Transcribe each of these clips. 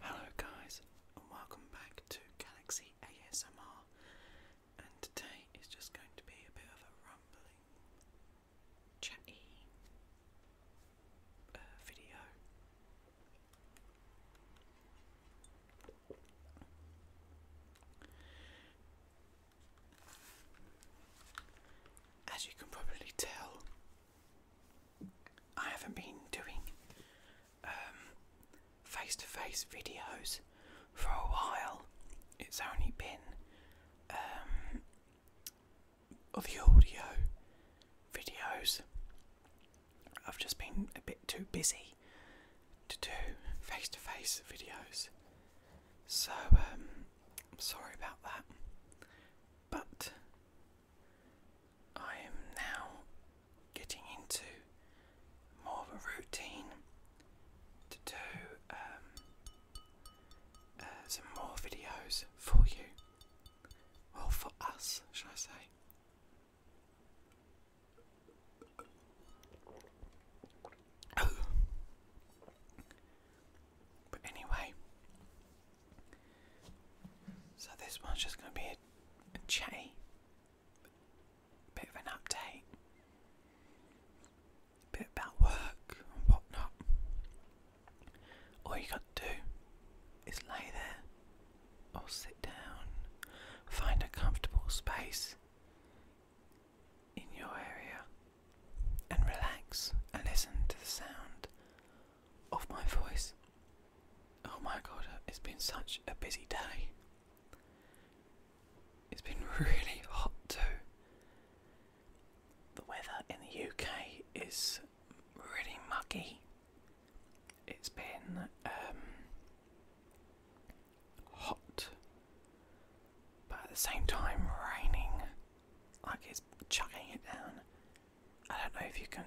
Hello guys and welcome back to Galaxy ASMR and today is just going to be a bit of a rumbling chatty uh, video. As you can probably tell, I haven't been doing face to face videos for a while. It's only been um, the audio videos. I've just been a bit too busy to do face to face videos. So, I'm um, sorry about that. But I am now getting into more of a routine to do um, uh, some more videos for you. or for us, should I say. But anyway, so this one's just going to be a, a bit of an update, a bit about work and whatnot. All you got to do is lay there or sit down, find a comfortable space in your area and relax and listen to the sound of my voice. Oh my god, it's been such a busy day. It's been really hot too. The weather in the UK is really muggy. It's been um, hot, but at the same time raining, like it's chucking it down. I don't know if you can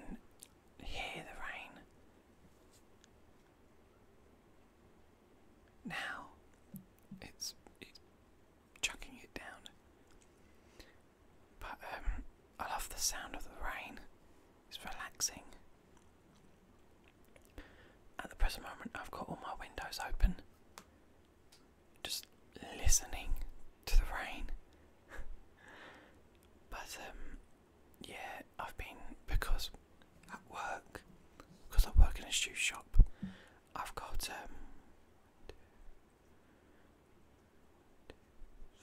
hear the rain. Now it's it's chucking it down. But um I love the sound of the rain. It's relaxing. At the present moment I've got all my windows open. Just listening to the rain. but um yeah, I've been because at work, because I work in a shoe shop, I've got um, two,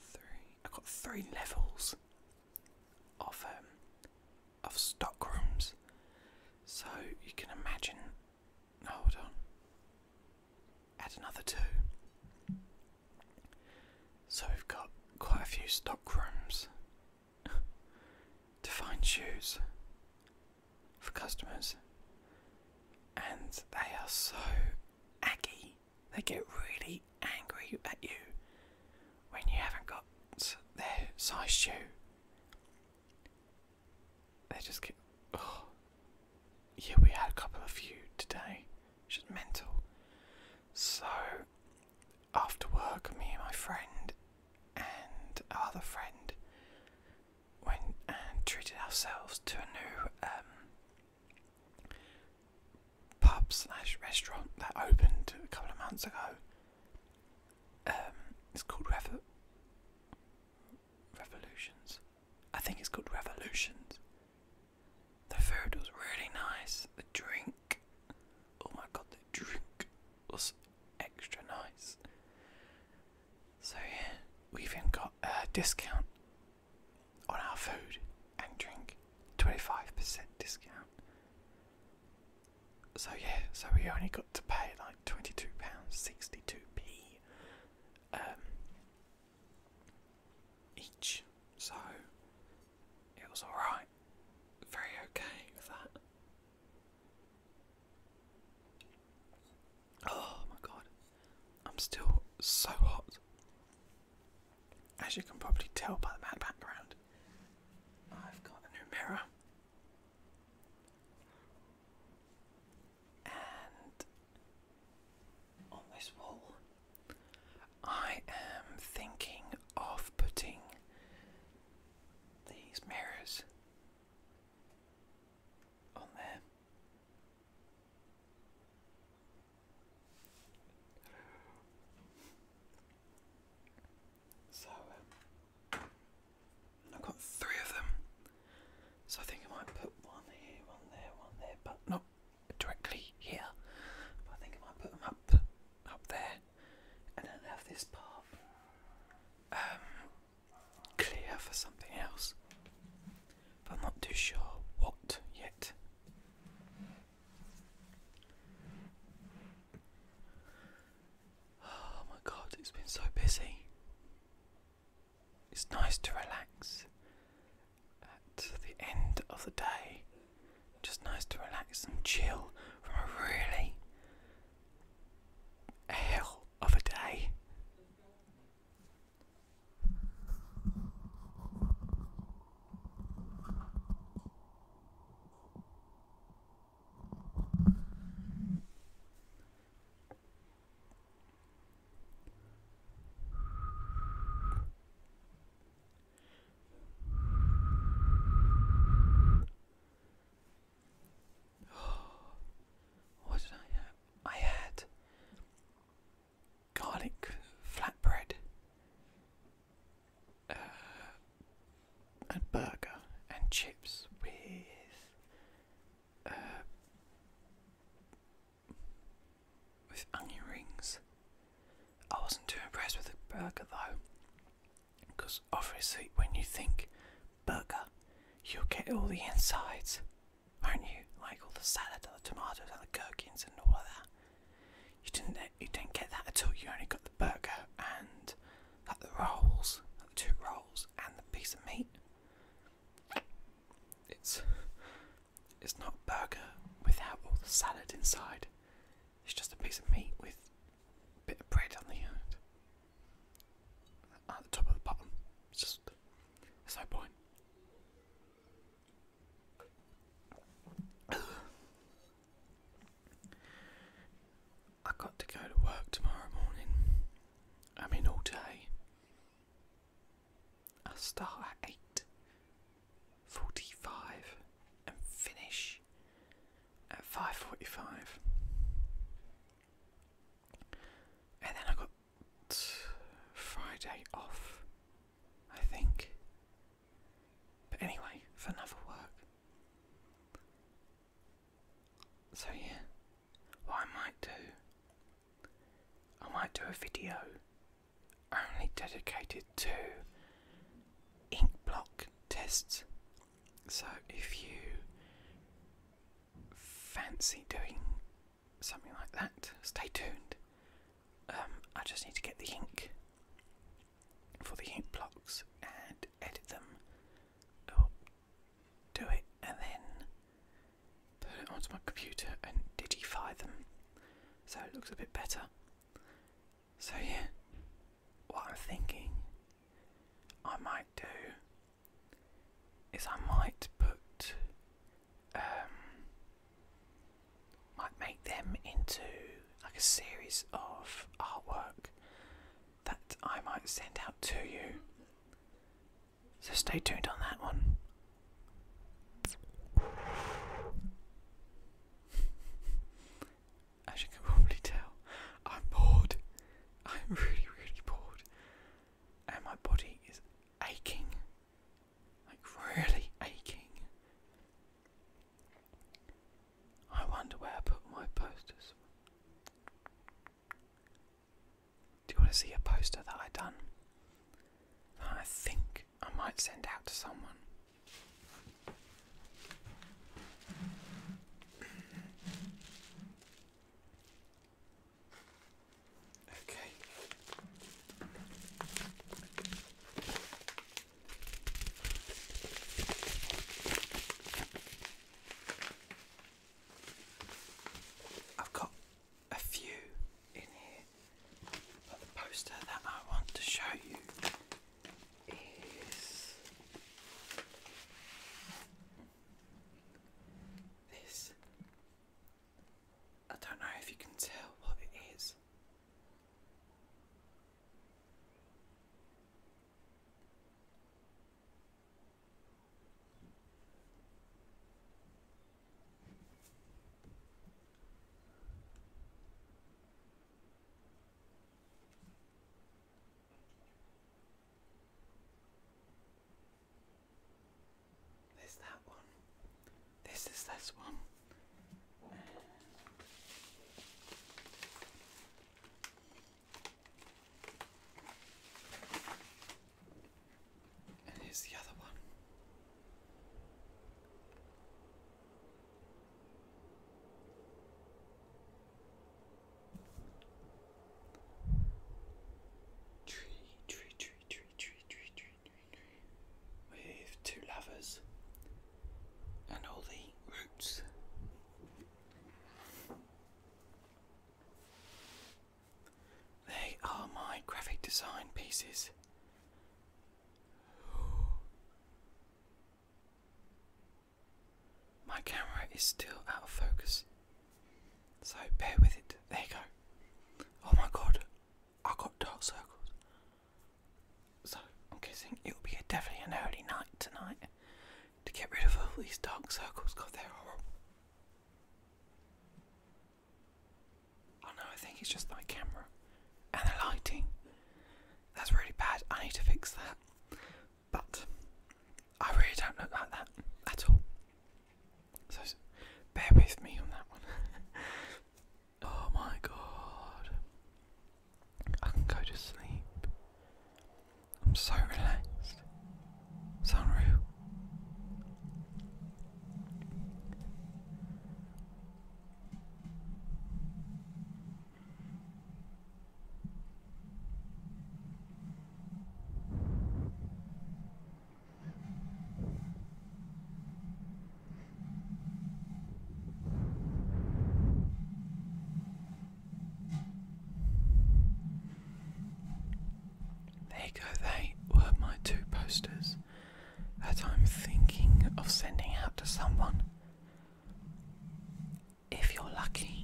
three. I've got three levels of um of stock rooms, so you can imagine. Hold on. Add another two. So we've got quite a few stock rooms to find shoes for customers, and they are so aggy. They get really angry at you when you haven't got their size shoe. They just get. Oh, yeah, we had a couple of you today. She's mental. So, after work, me and my friend and our other friend went and treated ourselves to a new um, pub slash restaurant that opened a couple of months ago. Um, it's called Revo Revolutions. I think it's called Revolutions. The food was really nice. The drink, oh my god, the drink was extra nice. So, yeah, we even got a discount on our food and drink 25% discount. So, yeah, so we only got to pay like £22.62p each, so it was alright. Very okay with that. Oh my god, I'm still so hot. As you can probably tell by the mad background, I've got a new mirror on this wall. I am thinking of putting these mirrors on there. So um, I've got three of them, so I think I might put one here, one there, one there, but not directly here. But I think I might put them up up there and then have this path um, clear for something else. But I'm not too sure what yet. Oh my god, it's been so busy. It's nice to relax at the end of the day. Just nice to relax and chill from a really hell of a day. what did I have? I had garlic flatbread, uh, burger, and chips with. Uh, with onion rings. I wasn't too impressed with the burger though, because obviously when you think burger, you'll get all the insides, are not you? Like all the salad and the tomatoes and the gherkins and all of that. You didn't you didn't get that at all. You only got the burger and the rolls, the two rolls and the piece of meat. It's it's not a burger without all the salad inside. It's just a piece of meat with a bit of bread on the end. At the top of the bottom. It's just there's no point. I got to go to work tomorrow morning. I mean all day. I start at 8 45 and finish at 5.45 and then I got Friday off I think but anyway for another work so yeah what I might do I might do a video only dedicated to ink block tests. So if you fancy doing something like that, stay tuned. Um, I just need to get the ink for the ink blocks and edit them, or oh, do it and then put it onto my computer and digify them so it looks a bit better. So, yeah, what I'm thinking I might do is I might put, um, might make them into like a series of artwork that I might send out to you. So, stay tuned on that one. As you can probably tell, I'm bored. I'm really, really bored. And my body is aching. Like, really aching. I wonder where I put my posters. Do you want to see a poster that I done? I think I might send out to someone. Okay. I've got a few in here. But the poster that I want to show you is this. I don't know if you can tell what it is. There's that one. This is this one. And here's the other one. Tree, tree, tree, tree, tree, tree, tree, tree, tree, with two lovers and all the roots. They are my graphic design pieces. My camera is still out of focus, so bear with it. There you go. Oh my god, I got dark circles. So I'm guessing it'll be a, definitely an early night tonight to get rid of all these dark circles God, they're horrible. Oh no, I think it's just my camera and the lighting. That's really bad. I need to fix that. But I really don't look like that at all. So bear with me on that one. oh my god. I can go to sleep. I'm so relaxed. It's unreal. There you go, they were my two posters that I'm thinking of sending out to someone. If you're lucky,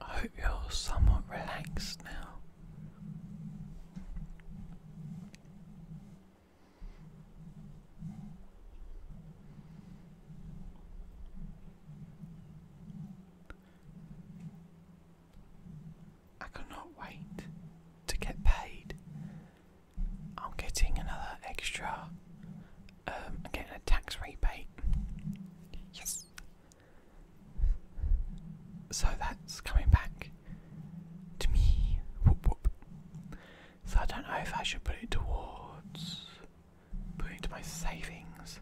I hope you're somewhat relaxed now. I cannot wait to get paid. I'm getting another extra um, and getting a tax rebate. Yes. So that's coming back to me. So I don't know if I should put it towards put it my savings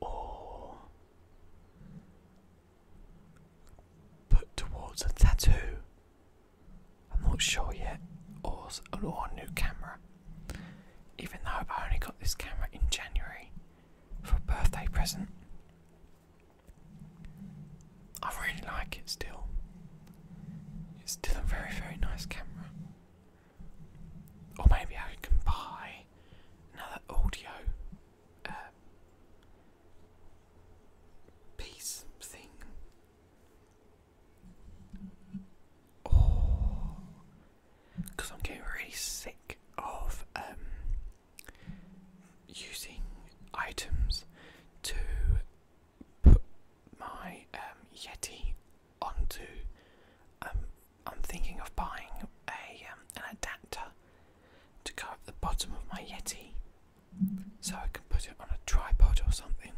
or put towards a tattoo I'm not sure yet, or, a new camera. Even though I only got this camera in January for a birthday present, I really like it still. It's still a very, very nice camera. Or maybe I can buy another audio uh, piece thing because oh. I'm getting really sick of um, using items to put my um, Yeti onto. Um, I'm thinking of buying a um, an adapter to go at the bottom of my Yeti, so I can put it on a tripod or something.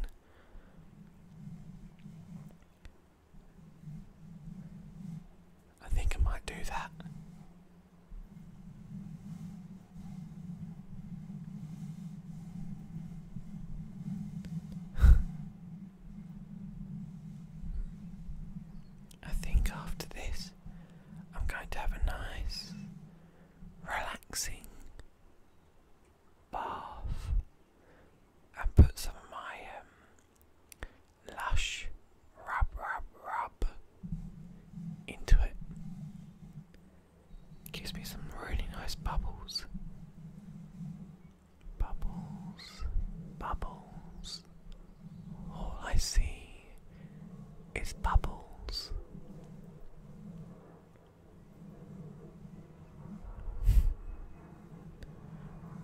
I think I might do that. I think after this, I'm going to have a nice, relaxing bath and put some of my um, lush rub rub rub into it. Gives me some really nice bubbles. Bubbles, bubbles. All I see is bubbles.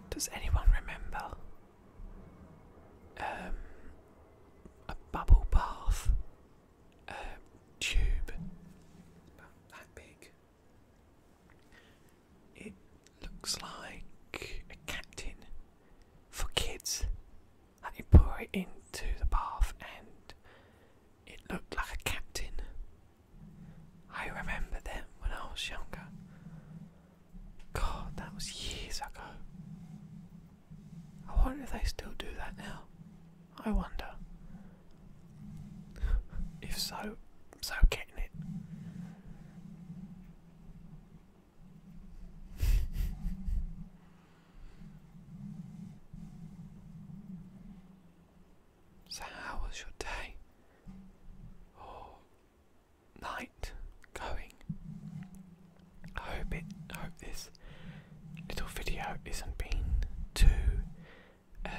Does anyone remember um, a bubble bath um, tube? that big. It looks like a captain for kids. And you pour it into the bath and it looked like a captain. I remember them when I was younger. God, that was years ago. I wonder if they still do that now. I wonder. if so, so getting it. So, how was your day or night going? I hope it. I hope this little video isn't been too um,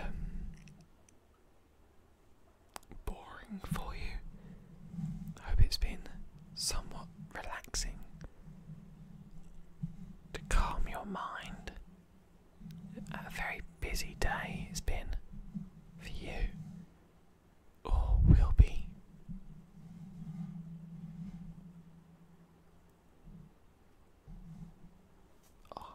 boring for you. I hope it's been somewhat relaxing to calm your mind a very busy day it's been for you, or will be. Oh.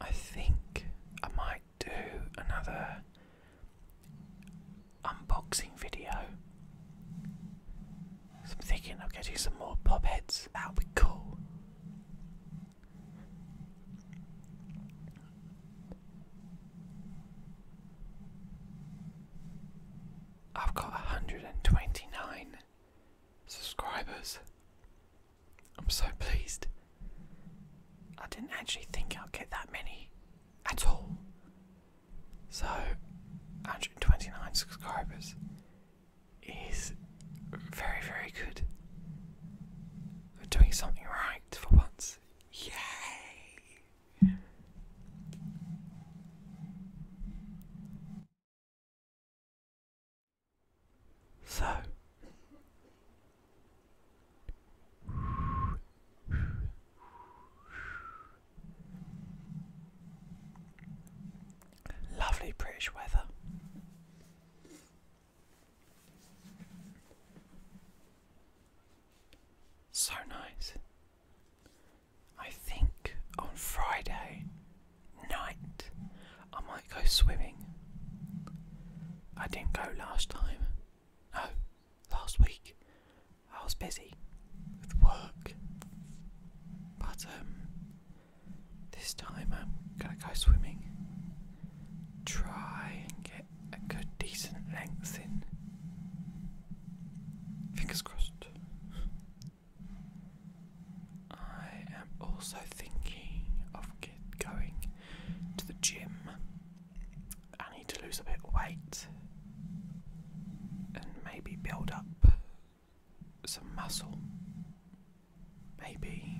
I think I might do another unboxing video. I'm thinking I'll get you some more pop heads. That will be cool. I've got 129 subscribers. I'm so pleased. I didn't actually think I'd get that many at all. So, 129 subscribers is very, very good. We're doing something right for once. Yay! So lovely British weather. So nice. I think on Friday night I might go swimming. I didn't go last time. No, last week I was busy with work. But um this time I'm gonna go swimming. Try and get a good decent length in. Fingers crossed. I am also thinking of going to the gym. I need to lose a bit of weight and maybe build up some muscle. Maybe.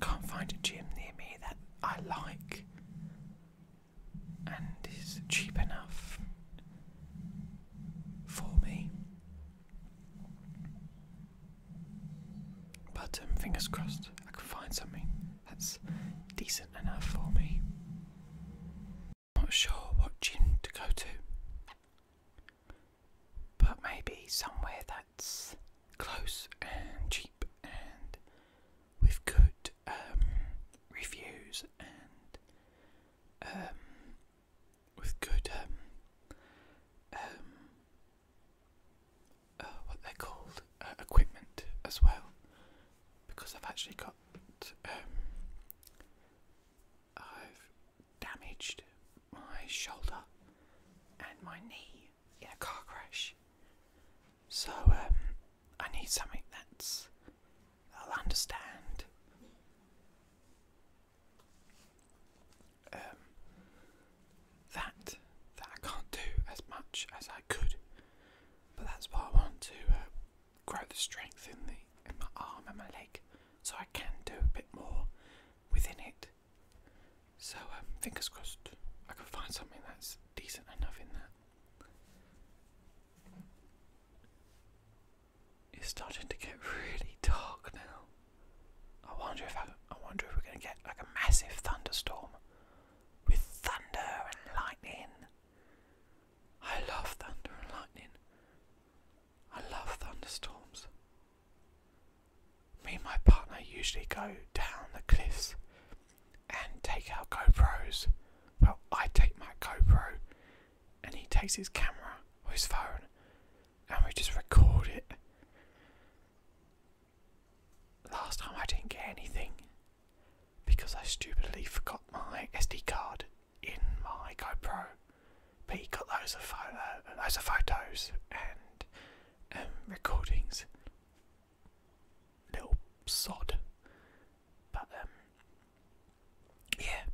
Can't find a gym near me that I like and is cheap enough for me. But um, fingers crossed, I can find something that's decent enough for me. Not sure what gym to go to, but maybe somewhere that's close and cheap and with good um, reviews and um, with good um, um, uh, what they're called uh, equipment as well, because I've actually got I've damaged my shoulder and my knee in a car crash, so I need something that's I'll understand. Um, that that I can't do as much as I could, but that's why I want to uh, grow the strength in the in my arm and my leg, so I can do a bit more within it. So um, fingers crossed, I can find something that's decent enough in that. It's starting to get really dark now. I wonder if I, I wonder if we're going to get like a massive thunderstorm with thunder and lightning. I love thunder and lightning. I love thunderstorms. Me and my partner usually go down the cliffs and take our GoPros. Well, I take my GoPro and he takes his camera or his phone and we just record it. Last time I didn't get anything because I stupidly forgot my SD card in my GoPro. But he got loads of, photo, uh, loads of photos and um, recordings. Little sod. But um, yeah.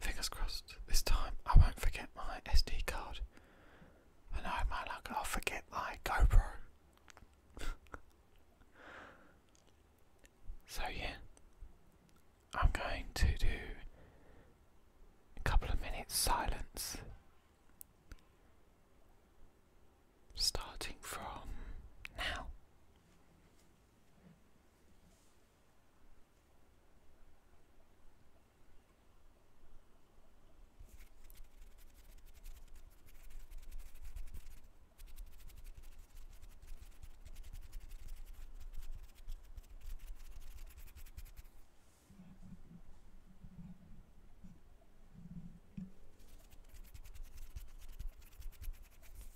Fingers crossed, this time I won't forget my SD card. I know, my luck, I'll forget my GoPro. so, yeah, I'm going to do a couple of minutes silence starting from now.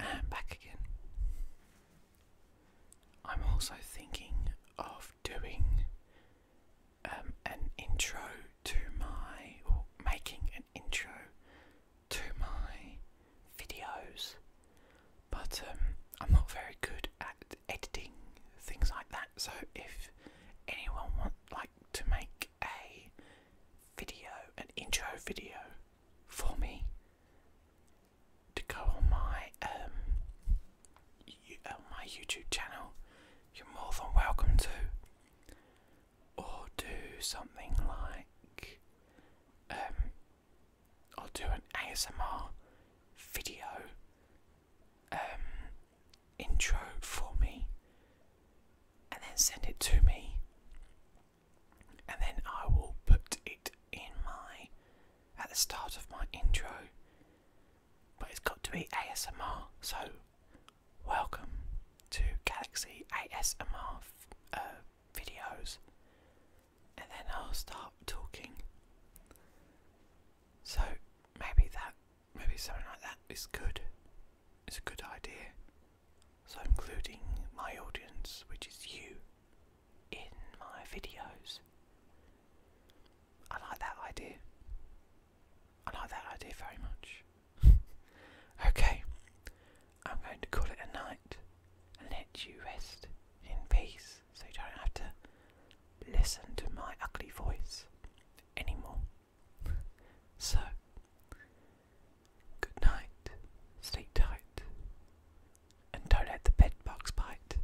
And back again. I'm also thinking of doing um, an intro to my, or making an intro to my videos, but um, I'm not very good at editing things like that. So if anyone want like to make a video, an intro video for me to go on my um, uh, my YouTube channel, you're more than welcome to. Or do something like, um, I'll do an ASMR video um, intro for me, and then send it to me, and then I will put it in my at the start of my intro. But it's got to be ASMR, so welcome to Galaxy ASMR uh, videos, and then I'll start talking. So maybe that, maybe something like that is good. It's a good idea. So including my audience, which is you, in my videos. I like that idea. I like that idea very much. okay, I'm going to call it a night and let you rest in peace so you don't have to listen to my ugly voice anymore. so, good night, sleep tight, and don't let the bed bugs bite.